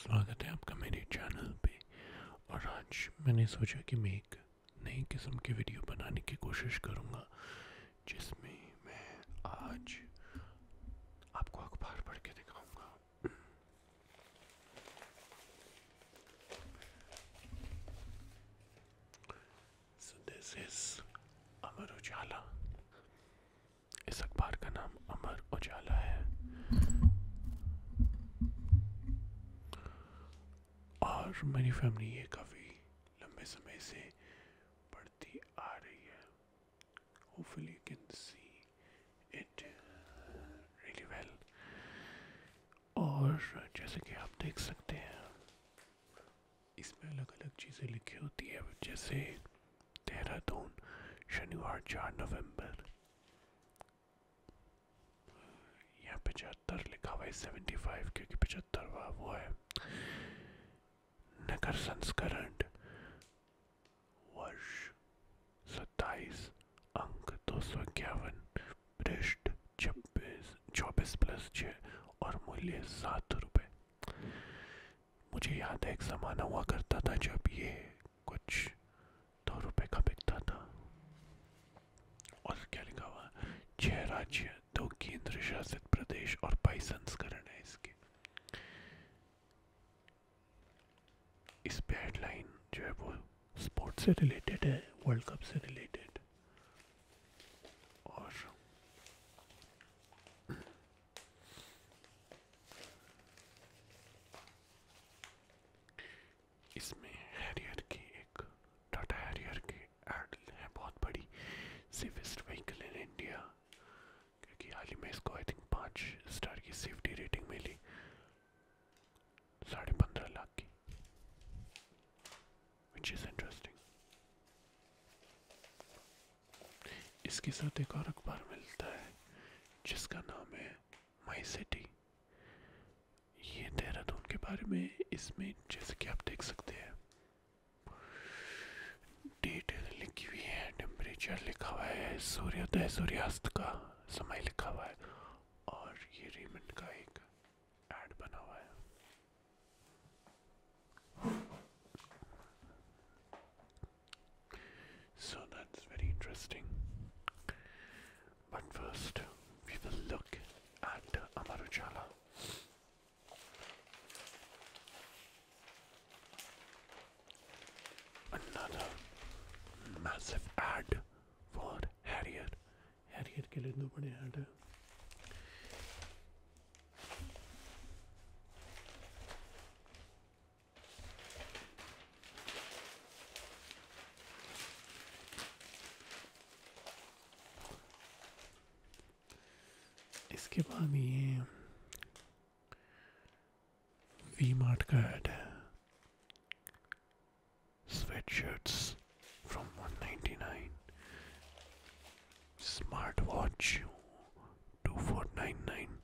स्वागत है आपका चैनल पे और आज मैंने सोचा कि मैं एक नई किस्म की वीडियो बनाने की कोशिश करूंगा जिसमें मैं आज आपको अखबार पढ़ के दिखाऊंगा दिस इज अमर उजाला अखबार का नाम अमर उजाला मेरी फैमिली ये काफ़ी लंबे समय से पढ़ती आ रही है hopefully you can see it really well और जैसे कि आप देख सकते हैं इसमें अलग अलग चीज़ें लिखी होती है जैसे देहरादून शनिवार चार नवंबर यहाँ पचहत्तर लिखा हुआ है सेवेंटी फाइव क्योंकि पचहत्तरवा वो है नगर संस्करण वर्ष सत्ताईस अंक दो सौ इक्यावन पृष्ठ छब्बीस चौबीस प्लस छः और मूल्य सात रुपये मुझे याद है एक ज़माना हुआ करता था जब ये कुछ दो रुपये का बिकता था और क्या लिखा हुआ छः राज्य दो केंद्र शासित प्रदेश और बाईस संस्करण है इसके इस पे हेडलाइन जो है वो स्पोर्ट से रिलेटेड है वर्ल्ड कप से रिलेटेड और इसमें हैरियर की एक टाटा हैरियर की एड है बहुत बड़ी सेफेस्ट व्हीकल इन इंडिया क्योंकि हाल ही में इसको आई थिंक पाँच स्टार की सेफ्टी रेटिंग मिली साढ़े पंद्रह लाख की विच इज़ इंटरेस्टिंग इसके साथ एक और अखबार मिलता है जिसका नाम है माई सिटी ये देहरादून के बारे में इसमें जैसे कि आप देख सकते हैं डिटेल लिखी हुई है टेम्परेचर लिखा हुआ है सूर्योदय सूर्यास्त का समय लिखा हुआ है और ये रेमंड का एक ऐड बना हुआ है So that's very interesting. But first, we will look at Amaruchala. Another massive ad for Harrier. Harrier के लिए इतना बड़े ad इसके बाद ये वी मार्ट का एड है sweatshirts from 199 smart watch two four nine nine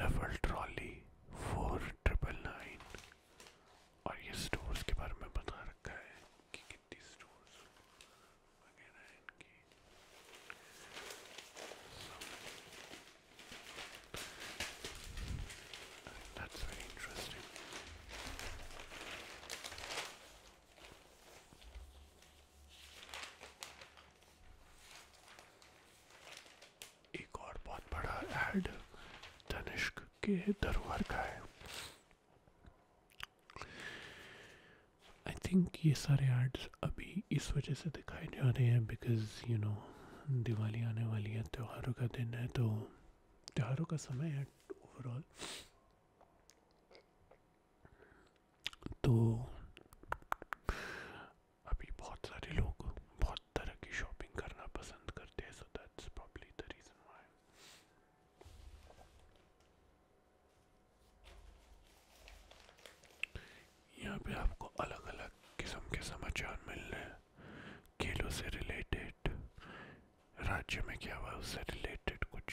double trolley four triple nine और ये स्टोर्स के बारे में बता रखा है कि कितनी स्टोर्स वगैरह हैं इनकी दैट्स वेरी इंटरेस्टिंग एक और बहुत बड़ा एड धनिष्क के दरबार का है आई थिंक ये सारे एड्स अभी इस वजह से दिखाए जा रहे हैं बिकॉज यू नो दिवाली आने वाली है त्योहारों का दिन है तो त्योहारों का समय है ओवरऑल तो अभी बहुत सारे लोग बहुत आपको अलग अलग किस्म के समाचार मिल रहे खेलों से रिलेटेड राज्य में क्या हुआ उससे रिलेटेड कुछ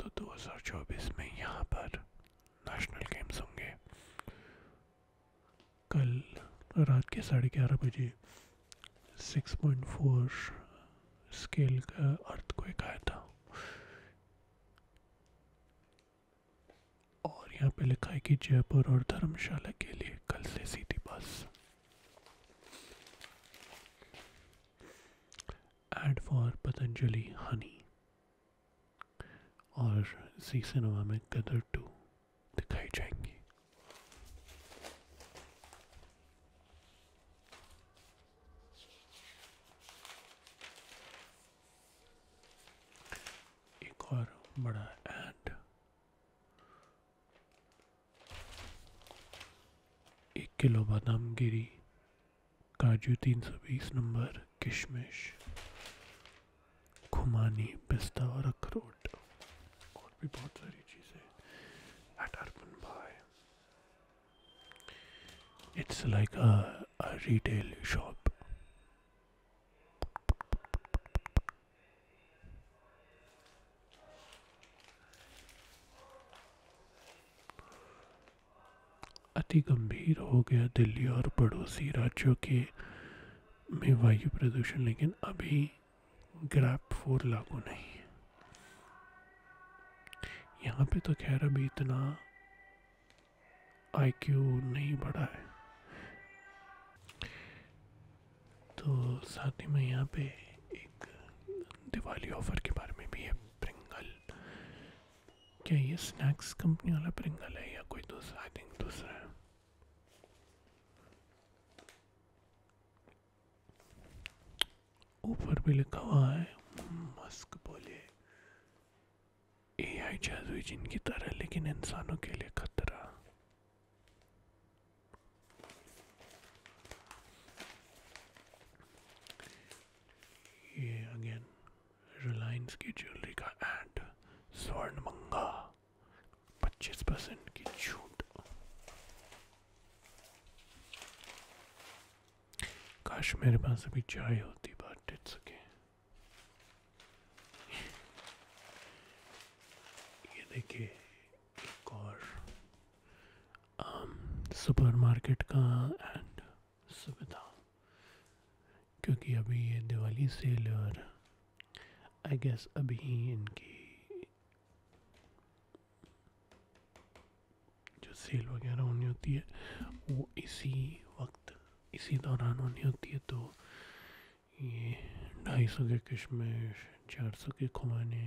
तो 2024 में यहाँ पर नेशनल गेम्स होंगे साढ़े ग्यारह बजे 6.4 स्केल का अर्थ को आया था और यहाँ पे लिखा है कि जयपुर और धर्मशाला के लिए कल से सीधी bus ad for Patanjali honey और जी सिनेमा में गदर टू दिखाई जाएंगी एक और बड़ा एड एक किलो बादाम गिरी काजू तीन सौ बीस नंबर किशमिश खुमानी पिस्ता और अखरोट और भी बहुत सारी चीज़ें at Urban Buy it's like a retail shop अति गंभीर हो गया दिल्ली और पड़ोसी राज्यों के में वायु प्रदूषण लेकिन अभी ग्रैप फोर लागू नहीं है यहाँ पे तो खैर अभी इतना आईक्यू नहीं बढ़ा है तो साथ ही में यहाँ पे एक दिवाली ऑफर के बारे में भी है प्रिंगल क्या ये स्नैक्स कंपनी वाला प्रिंगल है या कोई दूसरा आई थिंक दूसरा है ऊपर भी लिखा हुआ है मस्क बोले ए आई जादुई जिनकी तरह लेकिन इंसानों के लिए खतरा अगेन रिलायंस की ज्वेलरी का एड स्वर्ण पच्चीस परसेंट की छूट काश मेरे पास अभी चाय होती बट इट्स ओके ये देखिए एक और सुपरमार्केट um, का एंड सुविधा क्योंकि अभी ये दिवाली सेल और आई गेस अभी ही इनकी जो सेल वगैरह होनी होती है वो इसी वक्त इसी दौरान होनी होती है तो ये ढाई सौ के किशमिश चार सौ के खुमाने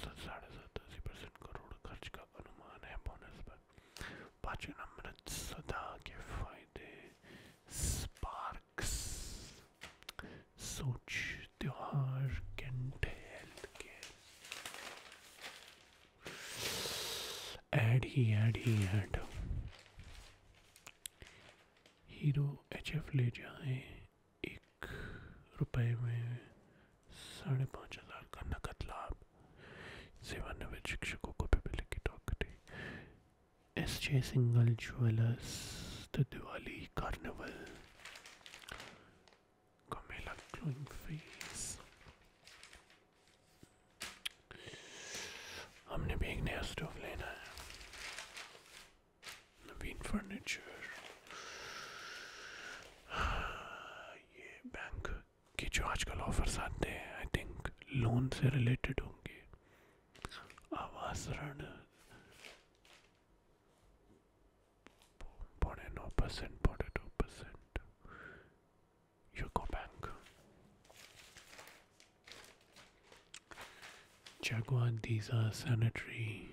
साढ़े सतासी परसेंट करोड़ खर्च का अनुमान है बोनस पर पाँचवें नंबर सदा के फायदे स्पार्क्स सोच त्योहार कैंट हेल्थ केयर एड ही एड ही एड हीरो एच एफ ले जाए एक रुपए में साढ़े पाँच हज़ार का नकद लाभ सेवानिवृत्त शिक्षकों को पिपले की टोकरी एस जे सिंगल ज्वेलर्स तो दिवाली कार्निवल का मेला ग्लोइंग फेस हमने भी एक नया स्टोव लेना है नवीन फर्नीचर ये बैंक के जो आजकल ऑफर्स आते हैं आई थिंक लोन से रिलेटेड होंगे आवास ऋण पौने नौ परसेंट पौने दो percent UCO bank Jaguar, these are sanitary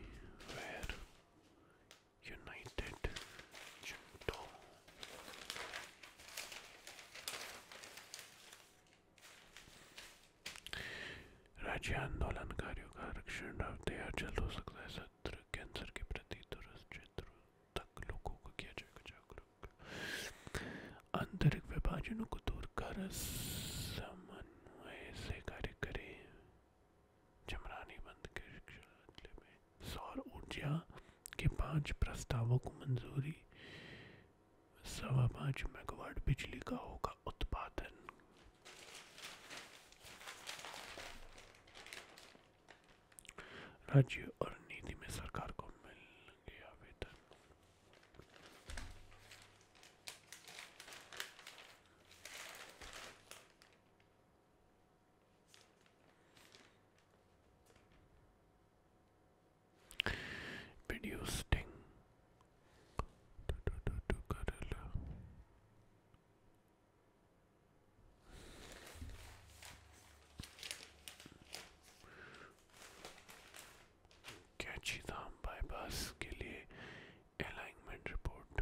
राज्य आंदोलनकारियों का आरक्षण हो सकता है सत्र कैंसर के प्रति दूरस्थ तक लोगों को किया जाएगा जागरूक आंतरिक विभाजनों को दूर समन्वय से कार्य करें चमरानी बंद के में सौर ऊर्जा के पांच प्रस्तावों को मंजूरी सवा पांच मेगावाट बिजली का होगा उत्पादन राज्य और नीति में सरकार को मिलेंगे आवेदन Video sting. Do, do, do, do, gorilla. Kainchi Dham bypass के लिए अलाइनमेंट रिपोर्ट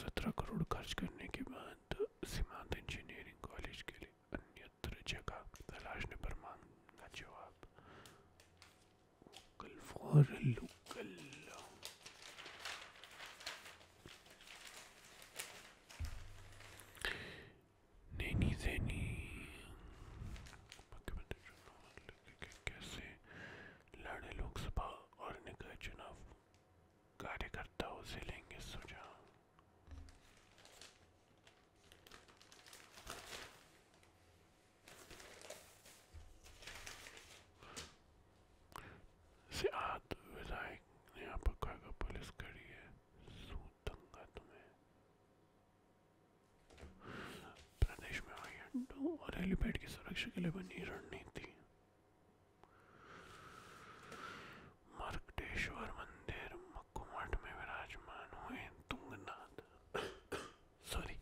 सत्रह करोड़ खर्च करने के बाद सीमांत इंजीनियरिंग कॉलेज के लिए अन्यत्र जगह तलाशने पर मांगा जवाब local for local Naini Saini कैसे लड़े लोकसभा और निकाय चुनाव कार्यकर्ताओं से लेंगे सुझाव सियात विधायक ने आपका पुलिस करी है तुम्हें प्रदेश में आई अड्डों और हेलीपैड की सुरक्षा के लिए बनी रणनीति मर्कटेश्वर मंदिर मक्कुमठ में विराजमान हुए तुंगनाथ सॉरी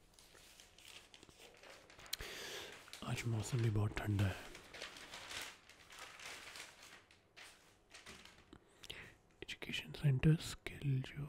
आज मौसम भी बहुत ठंडा है एजुकेशन सेंटर स्किल जो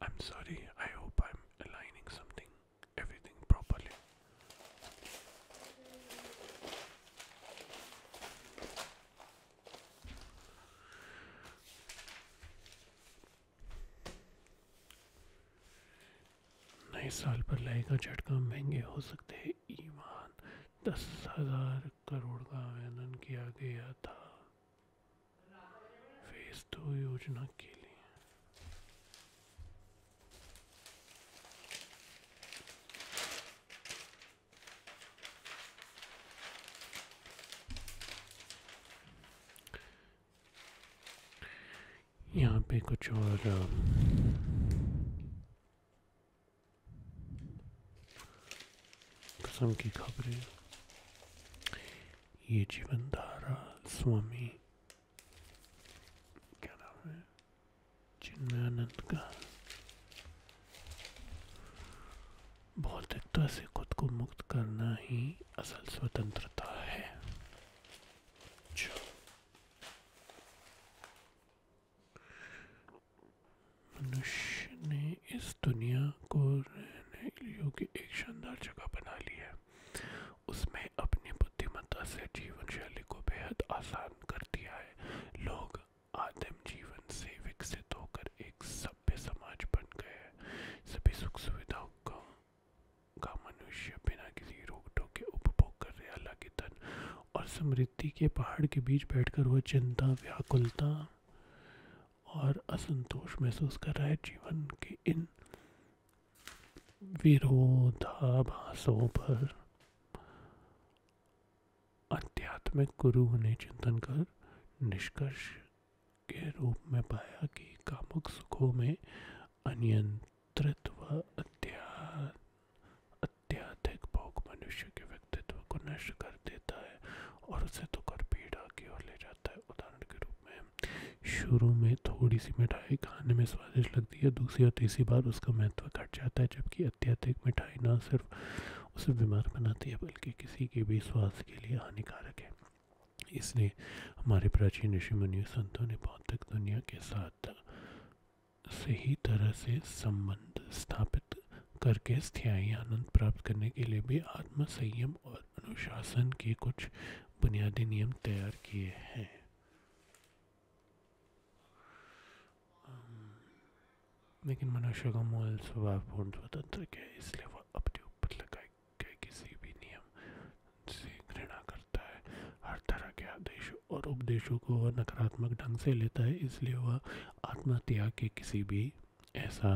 I'm sorry, I hope I'm aligning something, everything properly. नए साल पर लाएगा झटका महंगे हो सकते हैं ईमान दस हजार करोड़ का आवेदन किया गया था योजना के लिए यहाँ पे कुछ और कसम की खबरें ये जीवन धारा स्वामी क्या नाम है चिन्मयानंद का भौतिकता से खुद को मुक्त करना ही असल स्वतंत्रता है मनुष्य ने इस दुनिया को रहने योग्य एक शानदार जगह बना ली है उसमें अपनी बुद्धिमत्ता से जीवन शैली को बेहद आसान कर दिया है लोग आदिम जीवन से विकसित होकर एक सभ्य समाज बन गए हैं सभी सुख सुविधाओं का का मनुष्य बिना किसी रोक टोक के उपभोग कर रहे हालांकि धन और समृद्धि के पहाड़ के बीच बैठकर वह चिंता व्याकुलता और असंतोष महसूस कर रहा है जीवन के इन विरोधाभासों पर आध्यात्मिक गुरु ने चिंतन कर निष्कर्ष के रूप में पाया कि कामुक सुखों में अनियंत्रित व अत्याधिक भोग मनुष्य के व्यक्तित्व को नष्ट कर तो शुरू में थोड़ी सी मिठाई खाने में स्वादिष्ट लगती है दूसरी और तीसरी बार उसका महत्व घट जाता है जबकि अत्यधिक मिठाई ना सिर्फ उसे बीमार बनाती है बल्कि किसी के भी स्वास्थ्य के लिए हानिकारक है इसलिए हमारे प्राचीन ऋषि मुनि संतों ने भौतिक दुनिया के साथ सही तरह से संबंध स्थापित करके स्थायी आनंद प्राप्त करने के लिए भी आत्म संयम और अनुशासन के कुछ बुनियादी नियम तैयार किए हैं लेकिन मनुष्य का मूल स्वभाव पूर्ण स्वतंत्र है इसलिए वह अपने ऊपर लगाए गए किसी भी नियम से घृणा करता है हर तरह के आदेशों और उपदेशों को वह नकारात्मक ढंग से लेता है इसलिए वह आत्महत्या के किसी भी ऐसा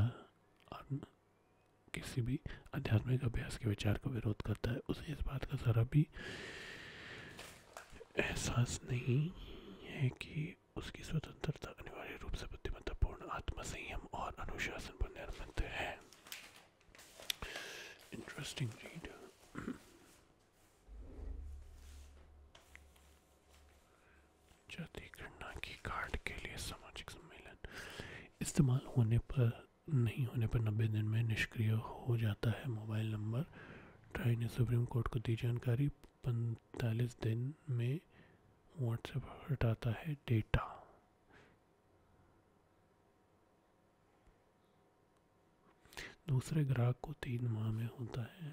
किसी भी आध्यात्मिक अभ्यास के विचार का विरोध करता है उसे इस बात का ज़रा भी एहसास नहीं है कि उसकी स्वतंत्रता अनिवार्य रूप से बुद्धिमत्तापूर्ण आत्मसंयम और अनुशासन पर निर्मित है इंटरेस्टिंग रीड जाति गणना की कार्ड के लिए सामाजिक सम्मेलन इस्तेमाल होने पर नहीं होने पर नब्बे दिन में निष्क्रिय हो जाता है मोबाइल नंबर ट्राई ने सुप्रीम कोर्ट को दी जानकारी पैंतालीस दिन में व्हाट्सएप हटाता है डेटा दूसरे ग्राहक को तीन माह में होता है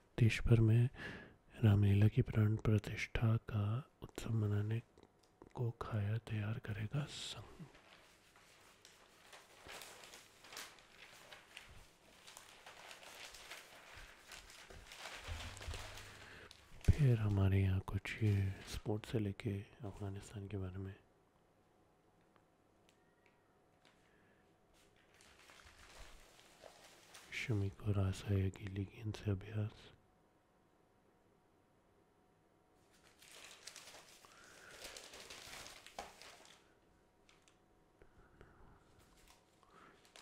देश भर में रामलीला की प्राण प्रतिष्ठा का उत्सव मनाने को खाया तैयार करेगा संघ फिर हमारे यहाँ कुछ ये स्पोर्ट्स से लेके अफ़गानिस्तान के बारे में शमी को आशा अकेली गेंद से अभ्यास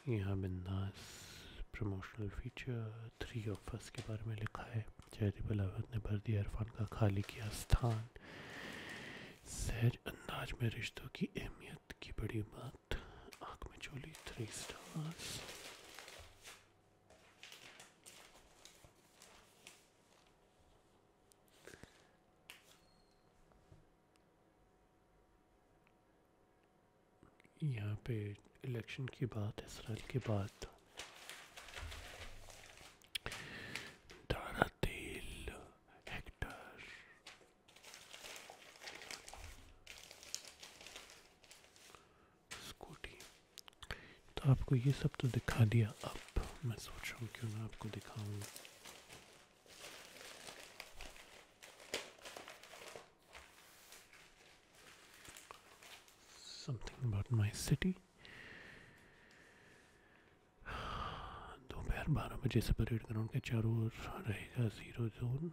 यहाँ बिंदास प्रमोशनल फीचर थ्री ऑफर्स के बारे में लिखा है चैरिटेबल अवध ने भर दिया इरफान का खाली किया स्थान सहज अंदाज में रिश्तों की अहमियत की बड़ी बात साथ आंख में चोली थ्री स्टार्स यहाँ पे इलेक्शन की बात इसराइल के बाद दारा तेल हेक्टर स्कूटी तो आपको ये सब तो दिखा दिया अब मैं सोच रहा हूँ क्यों ना आपको दिखाऊँ something about my city दोपहर बारह बजे से परेड ग्राउंड के चारों ओर रहेगा ज़ीरो जोन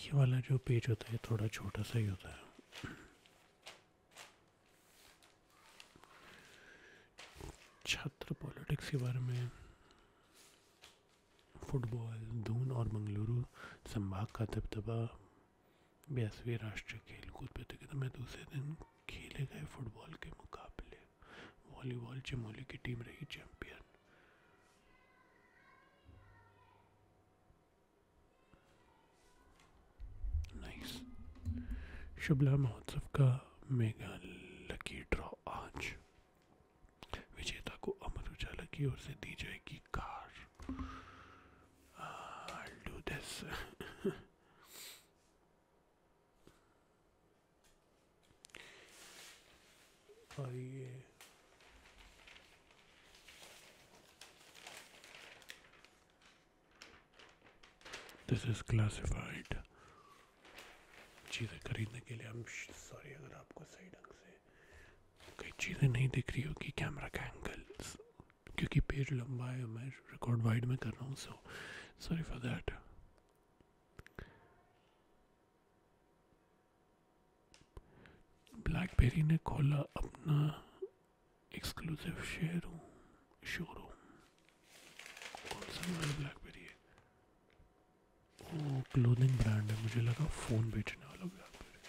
ये वाला जो पेज होता है थोड़ा छोटा सा ही होता है छात्र पॉलिटिक्स के बारे में फुटबॉल धून और मंगलुरु संभाग का दबदबा बयासवीं राष्ट्रीय खेलकूद प्रतियोगिता में दूसरे दिन खेले गए फुटबॉल के मुकाबले वॉलीबॉल चमोली की टीम रही चैंपियन नाइस शुभला महोत्सव का मेगा लकी ड्रॉ आज विजेता को अमर उजाला की ओर से दी जाएगी कार uh, और ये दिस इज़ क्लासिफाइड चीज़ें खरीदने के लिए हम सॉरी अगर आपको सही ढंग से कई चीज़ें नहीं दिख रही होगी कैमरा का एंगल क्योंकि पेड़ लंबा है मैं रिकॉर्ड वाइड में कर रहा हूँ so sorry for that BlackBerry ने खोला अपना एक्सक्लूसिव शेयरूम शोरूम कौन सा वाला ब्लैकबेरी है वो क्लोथिंग ब्रांड है मुझे लगा फ़ोन बेचने वाला ब्लैकबेरी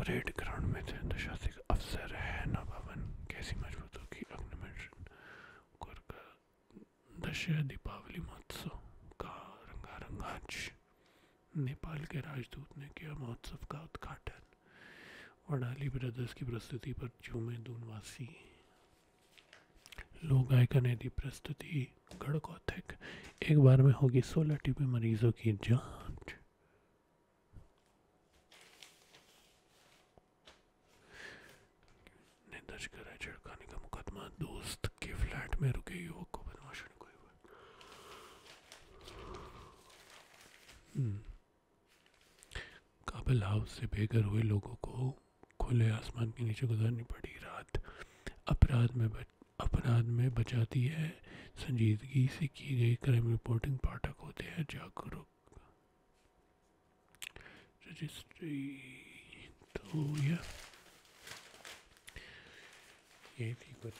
परेड ग्राउंड में थे दशासिक अफसर है ना कैसी मजबूत होगी अग्निमेंशन दशहरा दीपावली महोत्सव का रंगारंग आज नेपाल के राजदूत ने किया महोत्सव का उद्घाटन वडाली ब्रदर्स की प्रस्तुति पर झूमे दूनवासी लोग गायकन यदि प्रस्तुति गढ़कौथिक एक बार में होगी सोलह टीबी मरीजों की जांच निर्दोष हम्म। हाउस से बेघर हुए लोगों को खुले आसमान के नीचे गुजारनी पड़ी रात अपराध में बच अपराध में बचाती है संजीदगी से की गई क्राइम रिपोर्टिंग पाठक होते हैं जागरूक रजिस्ट्री तो या ये थी कुछ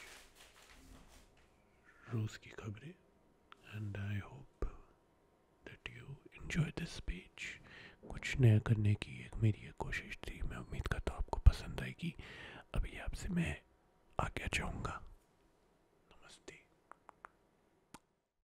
रोज़ की खबरें and I hope that you enjoy this page कुछ नया करने की एक मेरी एक कोशिश थी मैं उम्मीद करता हूँ आपको पसंद आएगी अभी आपसे मैं आज्ञा चाहूँगा